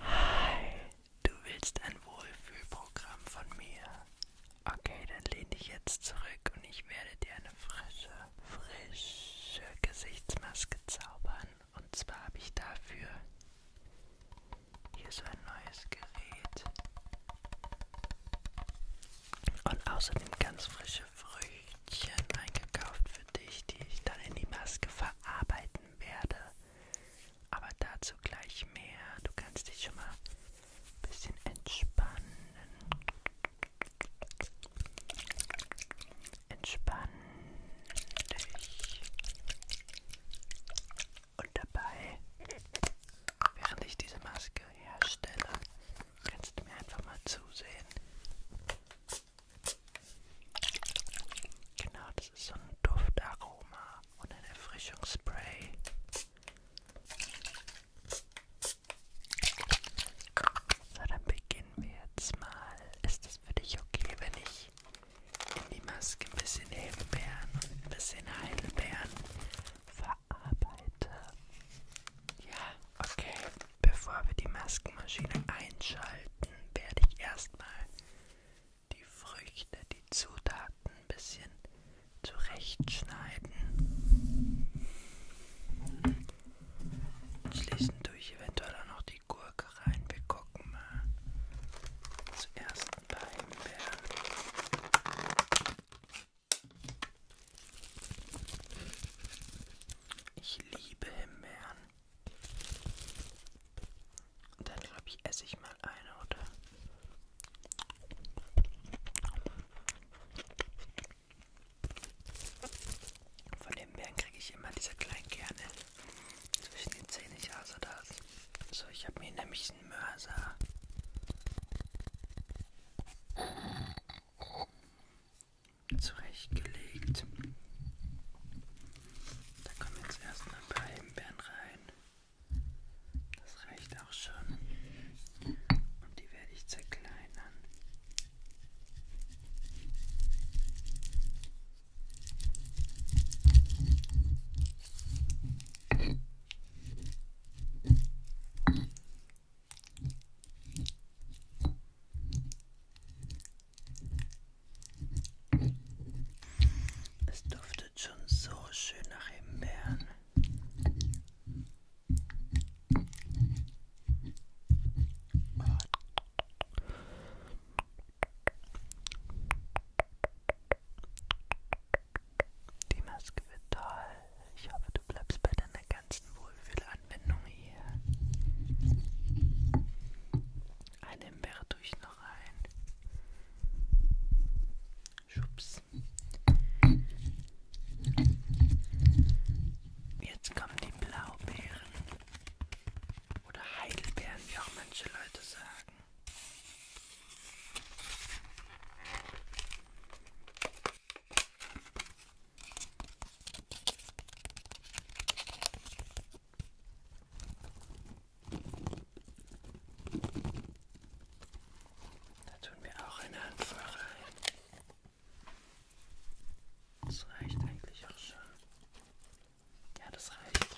Hi, du willst ein Wohlfühlprogramm von mir? Okay, dann lehn dich jetzt zurück und ich werde dir eine frische, frische Gesichtsmaske zaubern. Und zwar habe ich dafür hier so ein neues Gerät. Und außerdem ganz frische Früchtchen eingekauft für dich, die ich dann in die Maske verarbeiten werde. Aber dazu gleich mehr. Du kannst dich schon mal ein bisschen entspannen. Entspann dich. Und dabei, während ich diese Maske herstelle, kannst du mir einfach mal zusehen, Genau, das ist so ein Duftaroma und ein Erfrischungsspray. So, dann beginnen wir jetzt mal. Ist es für dich okay, wenn ich in die Maske ein bisschen Himbeeren und ein bisschen Heidelbeeren verarbeite? Ja, okay. Bevor wir die Maskenmaschine einschalten, werde ich erstmal die Früchte, die Zutaten ein bisschen zurechtschneiden. Schließend tue ich eventuell auch noch die Gurke rein. Wir gucken mal. Zuerst ein paar Himbeeren. Ich liebe Himbeeren. Dann glaube ich, esse ich mal eine, oder? Von den Bären kriege ich immer diese kleinen Kerne zwischen den Zähnen. Ich hasse das. So, ich habe mir nämlich einen Mörser. Zurechtgelegt. Da kommen jetzt erstmal ein paar Himbeeren rein. Das reicht auch schon. Und die werde ich zerkleinern. Es duftet schon so schön nach Himbeeren. Oh. Die Maske wird toll. Ich hoffe, du bleibst bei deiner ganzen Wohlfühlanwendung hier. Eine Himbeere tue ich noch da rein. Schubs. Jetzt kommen die Blaubeeren. Oder Heidelbeeren, wie auch manche Leute sagen. Da tun wir auch eine Handvoll rein. Das reicht eigentlich auch schon. Ja, das reicht.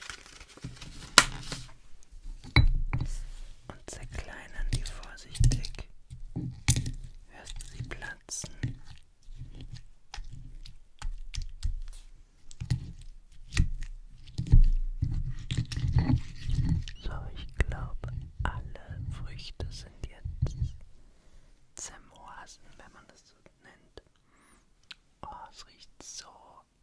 Und zerkleinern die vorsichtig. Hörst du sie platzen? So, ich glaube, alle Früchte sind jetzt zermorsen, wenn man das so nennt. Oh, es riecht so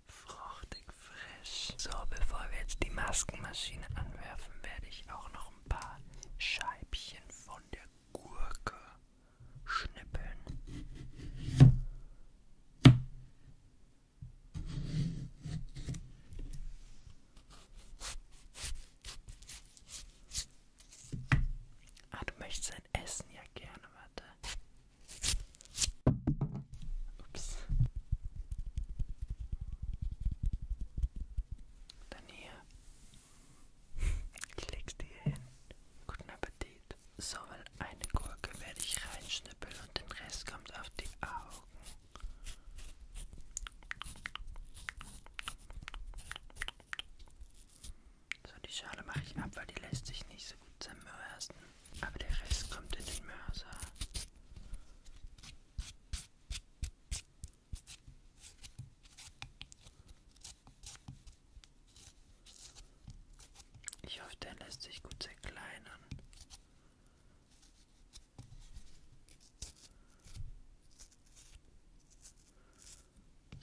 fruchtig frisch. So, bevor wir jetzt die Maskenmaschine anwerfen, werde ich auch noch ein paar Scheibchen von der Gurke schnippeln. Ah, du möchtest ein Essen ja gerne, warte. Ups. Dann hier. Ich leg's dir hin. Guten Appetit sondern eine Gurke werde ich reinschnippeln und den Rest kommt auf die Augen. So, die Schale mache ich ab, weil die lässt sich nicht so gut zermörsen. Aber der Rest kommt in den Mörser. Ich hoffe, der lässt sich gut zerkleinern.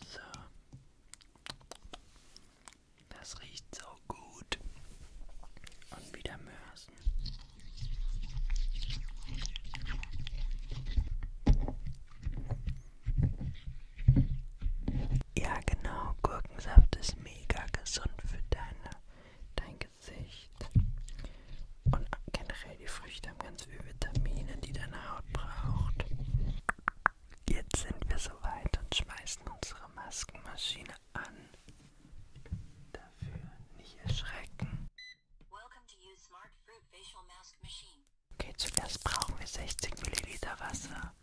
So. Das riecht so gut. Und wieder Mörsen. Ja, genau. Gurkensaft ist mega gesund für deine, dein Gesicht. Und generell die Früchte haben ganz viele Vitamine, die deine Haut braucht. Jetzt sind wir soweit und schmeißen unsere Maskenmaschine an. Dafür nicht erschrecken. Okay, zuerst brauchen wir 60 Milliliter Wasser.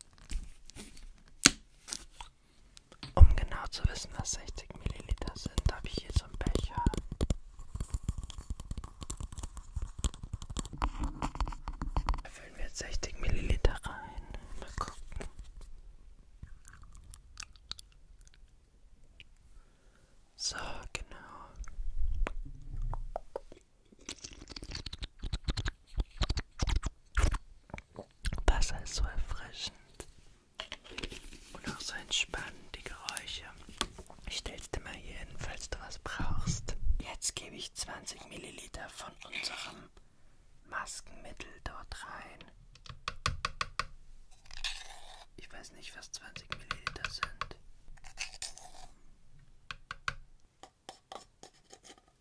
Um genau zu wissen, was 60 Milliliter sind, habe ich hier so einen Becher. Da füllen wir jetzt 60 Milliliter rein. Mal gucken. So, genau. Wasser ist so erfrischend und auch so entspannend, die Geräusche. Ich stell's dir mal hier hin, falls du was brauchst. Jetzt gebe ich 20 Milliliter von unserem Maskenmittel dort rein. Ich weiß nicht, was 20 Milliliter sind.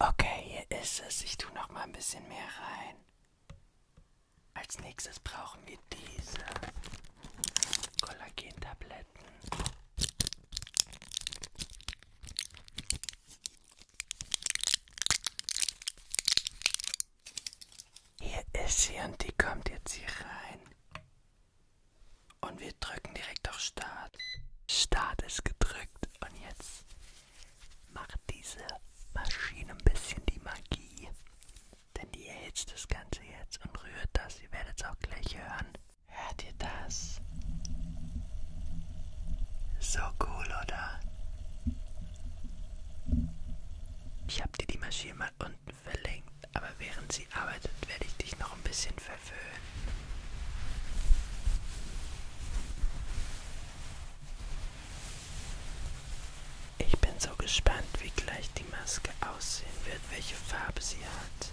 Okay, hier ist es. Ich tue noch mal ein bisschen mehr rein. Als nächstes brauchen wir diese Kollagentabletten. Hier ist sie und die kommt jetzt hier rein. Und wir drücken direkt auf Start. Start ist gedrückt und jetzt macht diese Maschine ein bisschen die Magie. Denn die erhitzt das Ganze jetzt und rührt das. Ihr werdet es auch gleich hören. Hört ihr das? So cool, oder? Ich habe dir die Maschine mal unten verlinkt, aber während sie arbeitet, werde ich dich noch ein bisschen verführen. Ich bin so gespannt, wie gleich die Maske aussehen wird, welche Farbe sie hat.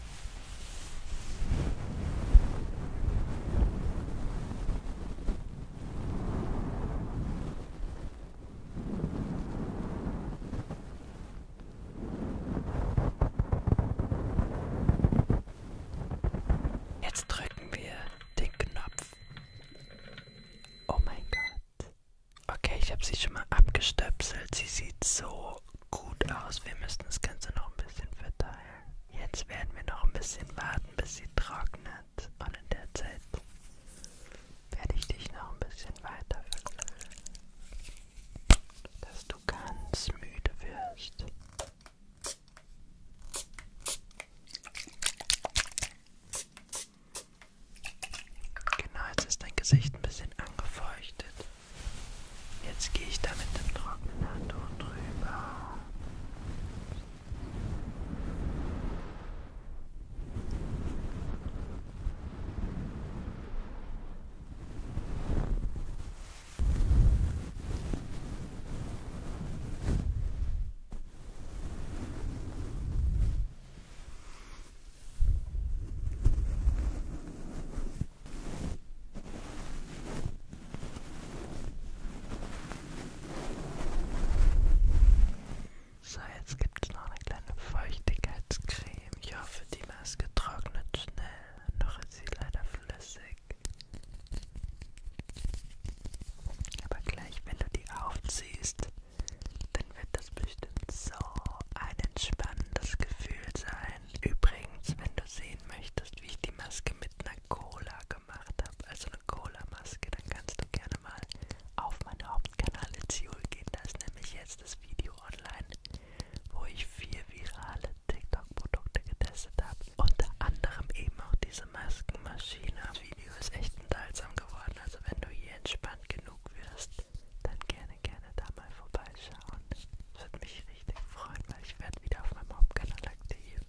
Jetzt drück drücken wir den Knopf. Oh mein Gott. Okay, ich habe sie schon mal abgestöpselt. Sie sieht so gut aus. Wir müssen das Ganze noch ein bisschen verteilen. Jetzt werden wir noch ein bisschen warten, bis sie trocknet. Und in der Zeit werde ich dich noch ein bisschen weiter verknüllen. Dass du ganz müde wirst. Genau, jetzt ist dein Gesicht ein bisschen angefeuchtet. Jetzt gehe ich da mit dem trockenen Handtuch drüber. So, jetzt gibt es noch eine kleine Feuchtigkeitscreme. Ich hoffe, die Maske trocknet schnell. Äh, noch ist sie leider flüssig. Aber gleich, wenn du die aufziehst, dann wird das bestimmt so ein entspannendes Gefühl sein. Übrigens, wenn du sehen möchtest, wie ich die Maske mit einer Cola gemacht habe, also eine Cola-Maske, dann kannst du gerne mal auf meinen Hauptkanal Ziel gehen. Da ist nämlich jetzt das Video online, wo ich vier virale TikTok-Produkte getestet habe. Unter anderem eben auch diese Maskenmaschine. Das Video ist echt unterhaltsam geworden, also wenn du hier entspannt genug wirst, dann gerne, gerne da mal vorbeischauen. Das würde mich richtig freuen, weil ich werde wieder auf meinem Hauptkanal aktiv.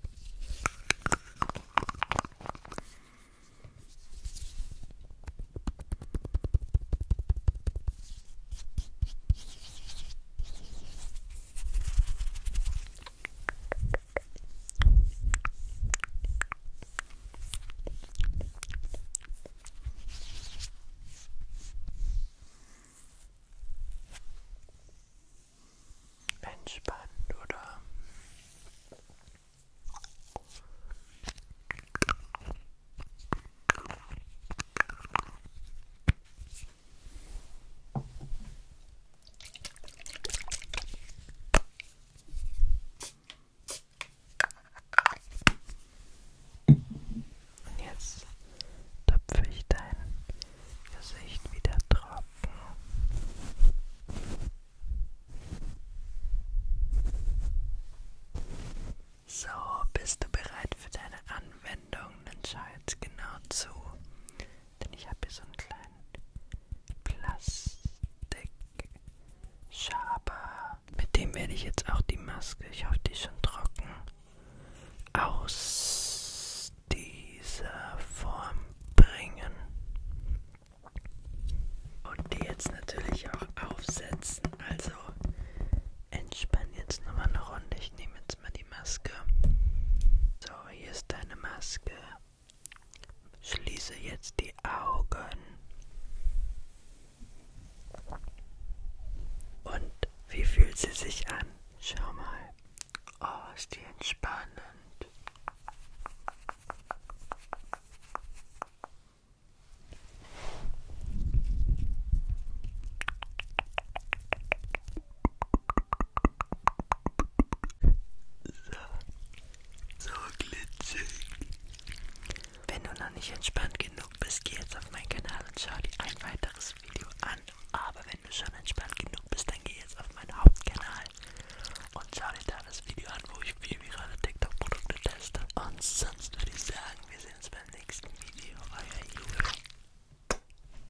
Entspannt, oder? Und jetzt töpfe ich dein Gesicht wieder trocken. So, bist du bereit für deine Anwendung? Dann schau jetzt genau zu. Denn ich habe hier so einen kleinen Plastikschaber. Mit dem werde ich jetzt auch die Maske, ich hoffe, die ist schon trocken, aus dieser Form bringen. Und die jetzt natürlich auch aufsetzen. Also entspann jetzt nochmal eine Runde. Ich nehme jetzt mal die Maske. So, hier ist deine Maske. Schließe jetzt die Augen. Und wie fühlt sie sich an? Schau mal. Oh, ist die entspannend. So, so glitschig. Wenn du noch nicht entspannt genug bist, geh jetzt auf meinen Kanal und schau dir ein weiteres Video an. Aber wenn du schon entspannt genug bist, dann geh jetzt auf meinen Hauptkanal und schau dir da das Video an, wo ich viel virale TikTok-Produkte teste. Und sonst würde ich sagen, wir sehen uns beim nächsten Video. Euer Julia.